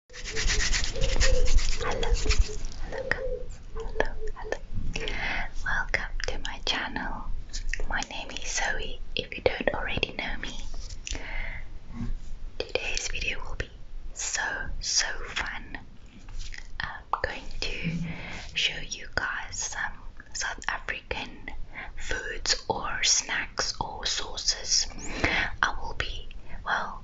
Hello, hello guys, hello, hello. Welcome to my channel. My name is Zoe, if you don't already know me. Today's video will be so, so fun. I'm going to show you guys some South African foods or snacks or sauces. I will be, well,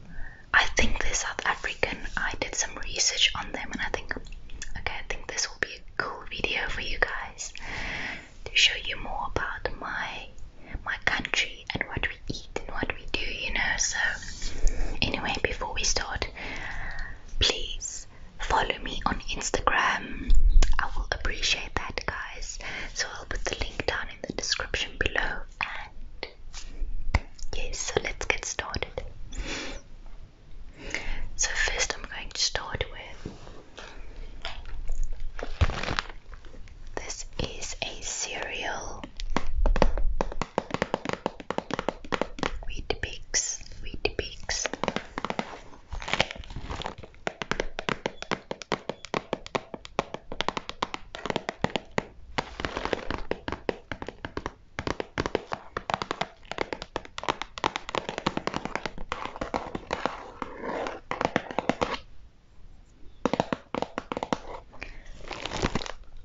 I think they're South African. I did some research on them and I think okay, I think this will be a cool video for you guys to show you more about my my country and what we eat and what we do, you know. So anyway, before we start, please follow me on Instagram. I will appreciate that guys. So I'll put the link down in the description below that. Yes, so let's get started. So, first, I'm going to start with this is a cereal wheat bix, wheat bix.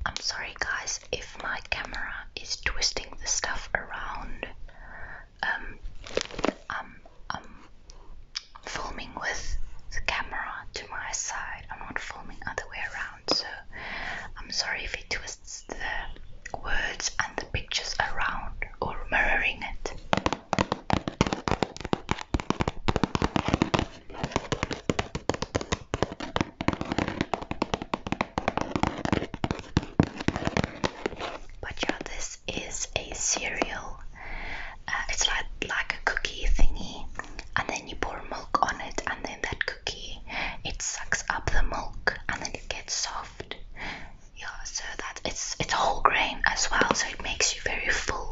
I'm sorry, guys, if my camera is twisting the stuff around. Um, um, um, filming with the camera to my side. I'm not filming other way around, so I'm sorry if it twists the words and the pictures around or mirroring it. But yeah, this is a serial uh, it's like like a cookie thingy, and then you pour milk on it, and then that cookie it sucks up the milk, and then it gets soft. Yeah, so that it's it's whole grain as well, so it makes you very full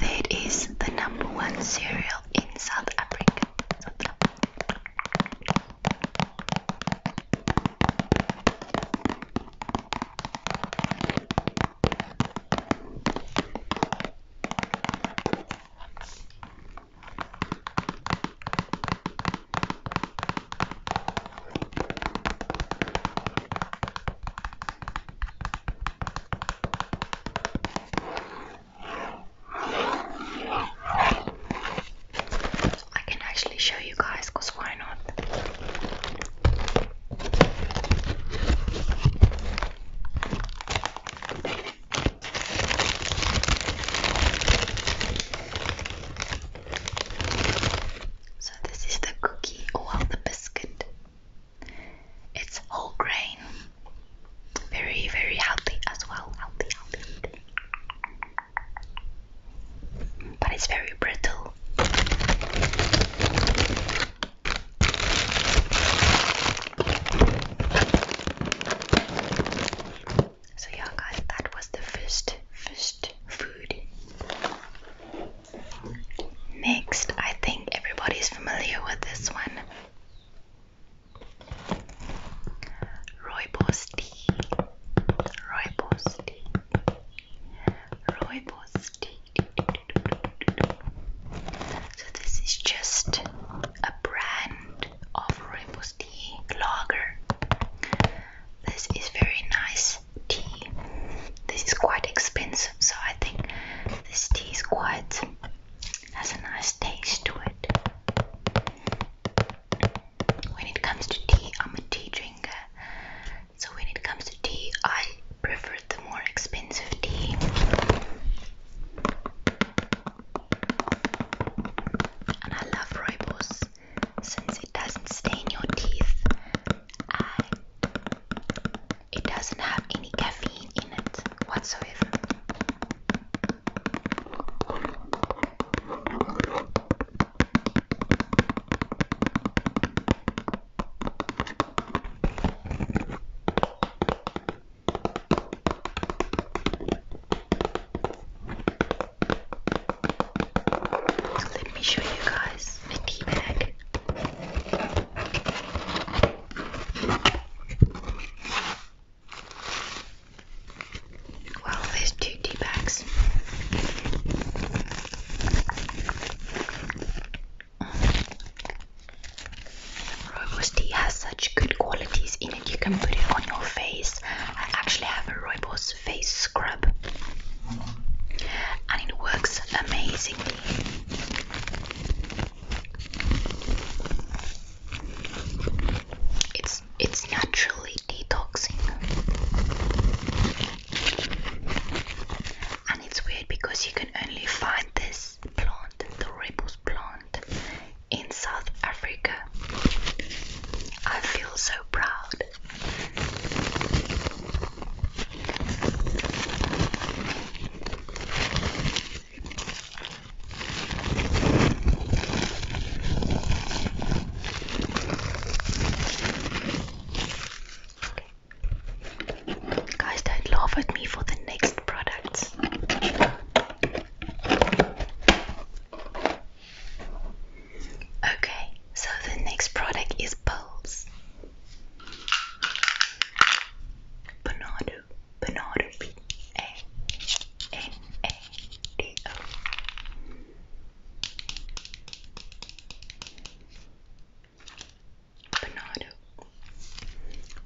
that is the number one cereal in South Africa. I can actually show you guys because why not? So, this is the cookie or the biscuit. It's whole grain. Very, very healthy as well. Healthy, healthy. But it's very brittle. So yeah guys, that was the first first food. Next, I think everybody is familiar with this one. Rooibos tea. Rooibos tea. Rooibos tea. So this is just a brand of rooibos tea lager. This is very nice tea. This is quite expensive, so I think this tea is quite has a nice taste to it. When it comes to tea, I'm a tea drinker. So when it comes to tea, I prefer the more expensive tea. And I love rooibos since it doesn't stain your teeth it doesn't have any caffeine in it whatsoever. let me show you guys the tea bag. Well, there's two tea bags. Rooibos tea has such good qualities in it. You can put it on your face. I actually have a Rooibos face scrub, and it works amazing. It's it's naturally detoxing. And it's weird because you can only find this plant, the ribos plant, in South Africa. I feel so proud. Guys, don't laugh at me for the next products. Okay, so the next product is pills. Panado, Panado, P A N A D O. Panado,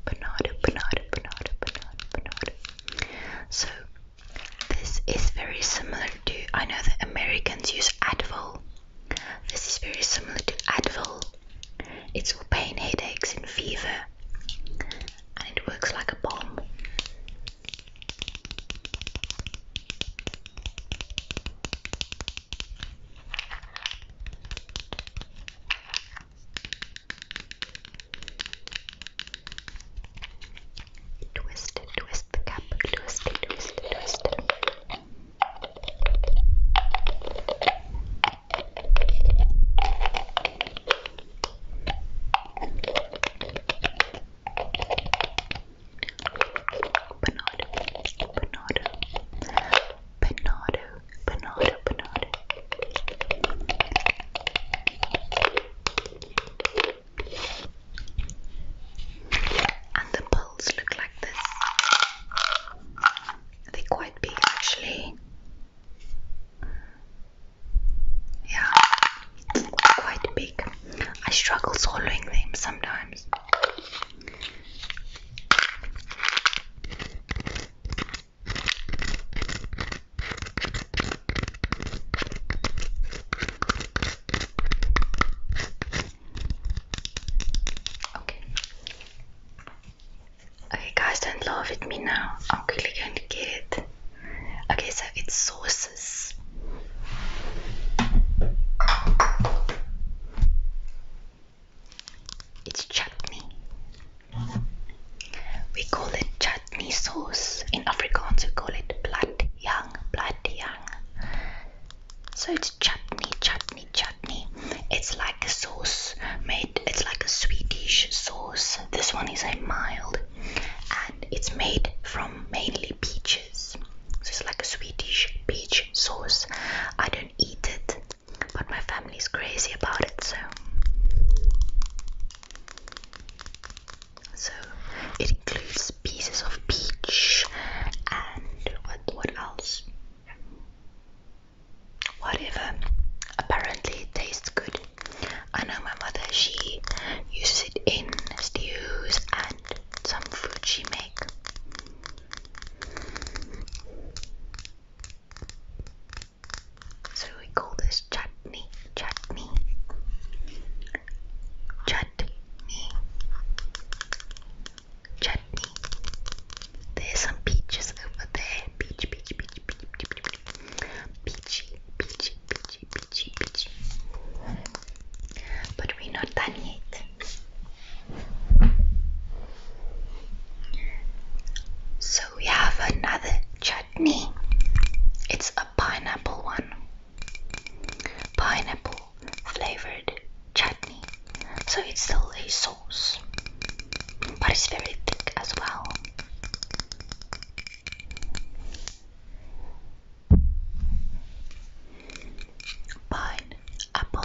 Panado, Panado, Panado, Panado, So, this is very similar to. I know that Americans use Advil this is very similar to Advil. It's for pain, headaches, and fever, and it works like a bomb. Twist, twist the cap, twist, twist, twist. And the balls look like this. They're quite big actually. Yeah, quite big. I struggle swallowing them sometimes. Okay. guys, don't laugh at me now. I'm quickly going to get it. Okay, so it's sauces. It's chutney. We call it chutney sauce. In Afrikaans, we call it blood young, blood young. So it's chutney, chutney, chutney. It's like a sauce made, it's like a Swedish sauce. This one is a mild and it's made from mainly peaches. So it's like a Swedish peach sauce. I don't eat it, but my family's crazy about it, so. So it includes pieces of peach and what what else? whatever. Apparently, it tastes good. I know my mother, she uses it in stews and some food she make. So we call this chutney, chutney, chutney, chutney. There's some peaches over there. Peach, peach, peach, peach, peach, peach, peachy, peachy, peachy, peachy, peachy. But we're not done yet. So we have another chutney. It's a pineapple one. Pineapple flavored chutney, so it's still a sauce, but it's very thick as well. Pine apple.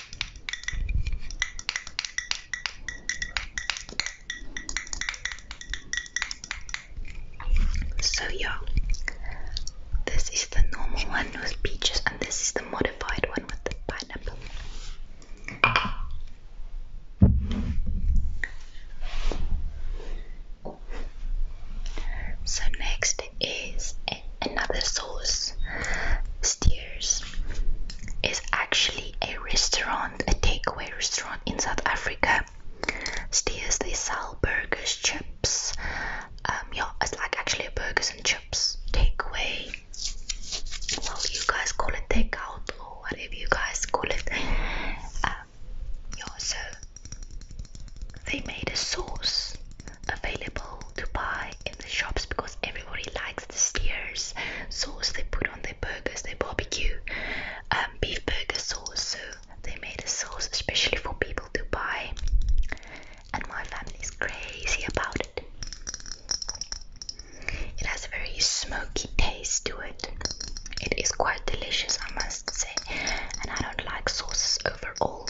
So yeah, this is the normal one with peaches, and this is the modified one with the pineapple. So next is another sauce, Steers, is actually a restaurant, a takeaway restaurant in South Africa. Steers, they sell burgers, chips. Um, yeah, it's like actually burgers and chips takeaway. Well, you guys call it takeout or whatever you guys call it. Um, yeah, so they made a sauce available to buy in the shops because everybody liked the steers sauce they put on their burgers, their barbecue, um, beef burger sauce. So they made a sauce especially for people to buy, and my family is crazy about it. It has a very smoky taste to it. It is quite delicious, I must say, and I don't like sauces overall.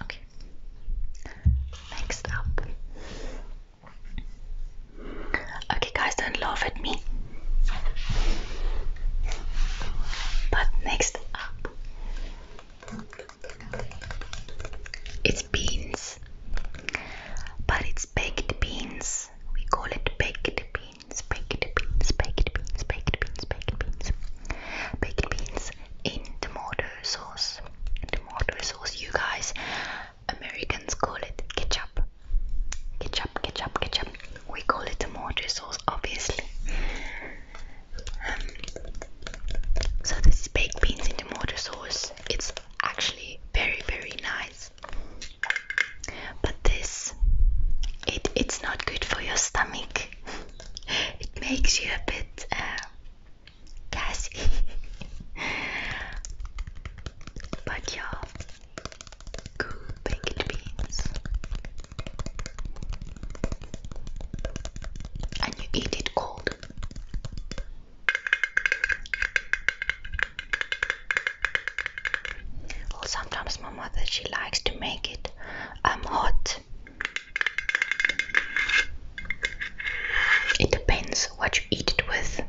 Okay. Next up. Okay, guys, don't laugh at me. But next up, it's beans but it's baked beans. We call it baked beans, baked beans, baked beans, baked beans, baked beans, baked beans in tomato sauce. Tomato sauce, you guys, Americans call it ketchup. Ketchup, ketchup, ketchup. We call it mortar sauce, obviously. Um, so this baked beans in the mortar sauce. It's actually very very nice but this it it's not good for your stomach it makes you a bit uh, gassy but yeah cool baked beans and you eat it cold well, sometimes my mother she likes to make it um hot. It depends what you eat it with.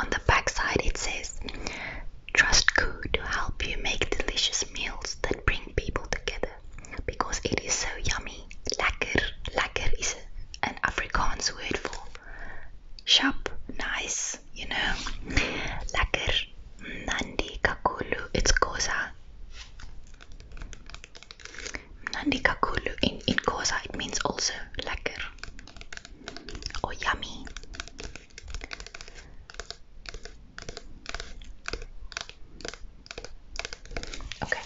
On the back side, it says, Trust Ku to help you make delicious meals that bring people together because it is so yummy. Lekker, lekker is an Afrikaans word for sharp, nice, you know. Lekker, mm, nandi kakulu, it's koza. Nandikakulu in, in Kosa it means also lekker or yummy. Okay,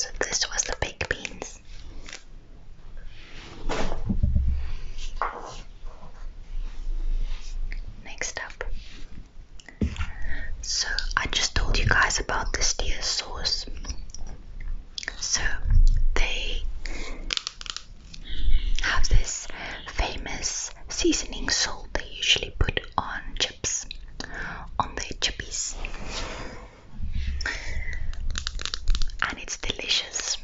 so this was the baked beans. Next up, so I just told you guys about this deer sauce. So they have this famous seasoning salt they usually put on chips, on their chippies. And it's delicious.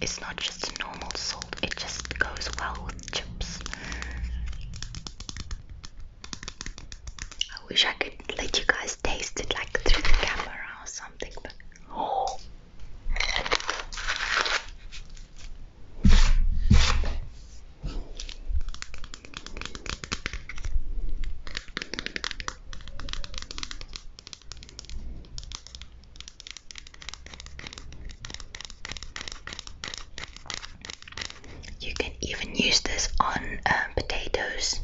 It's not just normal salt, it just goes well with chips. I wish I could let you guys taste it like through the camera or something, but oh. You can even use this on um, potatoes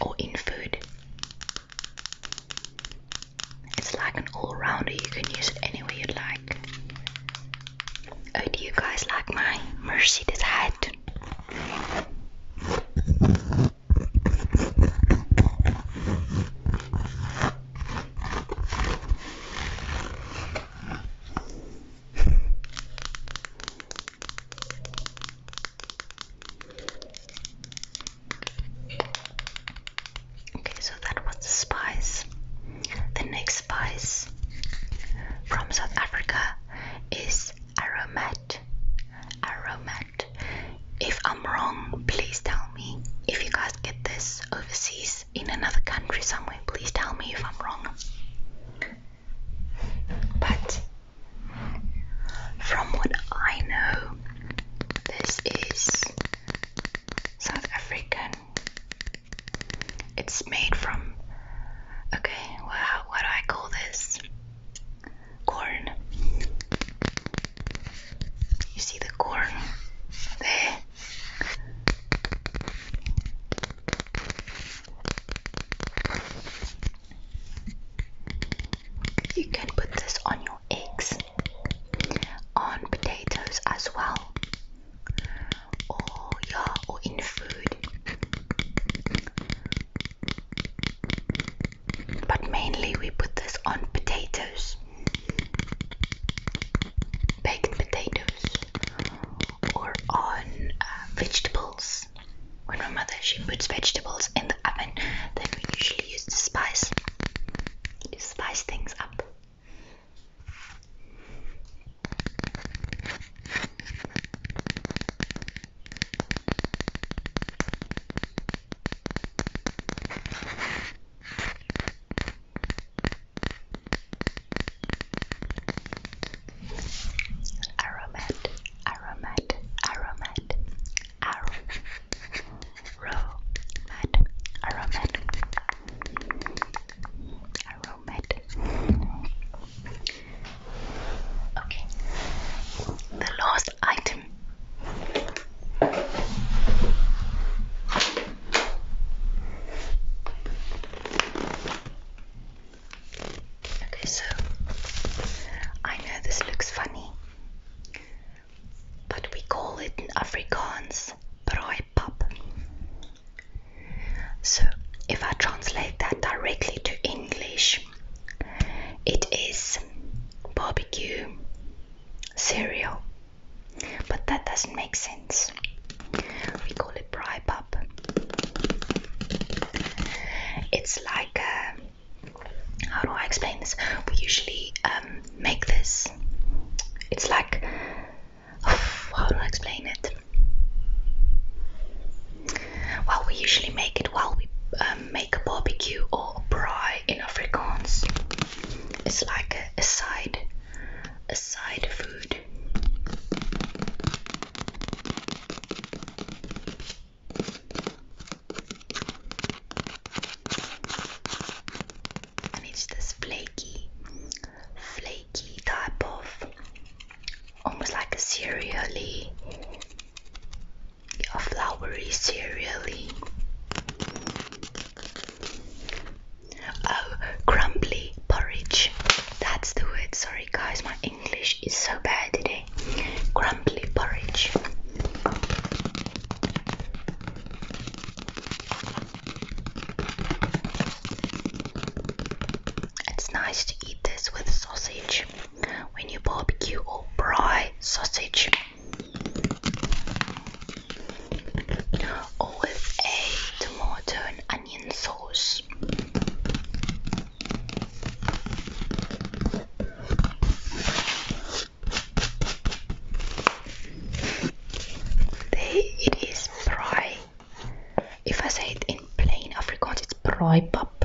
or in food. It's like an all rounder, you can use it any way you'd like. Oh, do you guys like my Mercedes hat? Okay, so that was the spice. The next spice from South Africa is aromat. Aromat. If I'm wrong, please tell me. If you guys get this overseas in another country somewhere, please tell me if I'm wrong. But from what I know, this is South African. It's made from okay, well, what do I call this? corn. You see the corn there? You can put this on your eggs, on potatoes as well, or yeah, or in food. But mainly we put this on potatoes, baked potatoes, or on uh, vegetables. When my mother she puts vegetables in the oven, then we usually use the spice to spice things up. Aromat, aromat, aromat, aromat, aromat, aromat. Okay, the last item. Okay, so I know this looks funny, but we call it Afrikaans brooi pap. So if I translate that directly to English, it is barbecue cereal, but that doesn't make sense. We call it bri pop. It's like uh, how do I explain this? We usually um, make this. It's like how do I explain it? Well, we usually make it while we um, make a barbecue or a braai in Afrikaans. It's like a, side, a side food. And it's this flaky, flaky type of almost like a cereally your flowery cereally. Oh, crumbly porridge. That's the word. Sorry, guys, my English is so bad today. Crumbly porridge. It's nice to eat this with sausage when you barbecue or fry sausage or a tomato onion sauce. it is, braai. If I say it in plain Afrikaans, it's braai pap,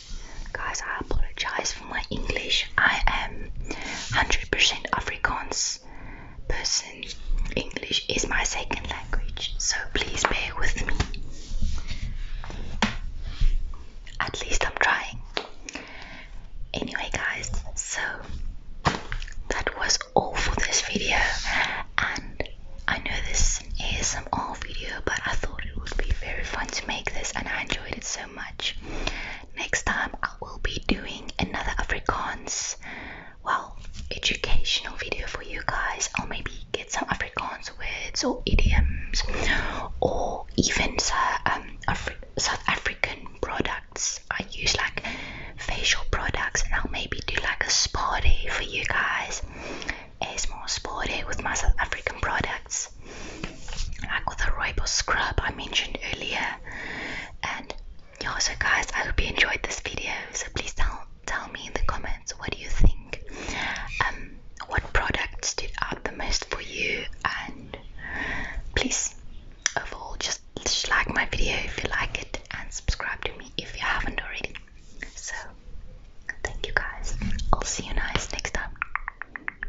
Guys, I apologize for my English. I am 100% Afrikaans person. English is my second language, so please bear with me. At least I'm trying. Anyway, guys, so that was all for this video, and I know this is an ASMR video, but I thought it would be very fun to make this, and I enjoyed it so much. Next time I will be doing another Afrikaans, well, educational video for you guys, or maybe get some Afrikaans words or idioms, or even some um, South African products. I use like facial products, and I'll maybe do like a spa day for you guys. A small spa day with my South African products like with the rooibos scrub I mentioned earlier. And yeah, so guys, I hope you enjoyed this video. So please tell tell me in the comments what do you think. Um, what products stood out the most for you? And please, overall, just, just like my video if you like it, and subscribe to me if you haven't already. So, thank you guys. I'll see you guys next time.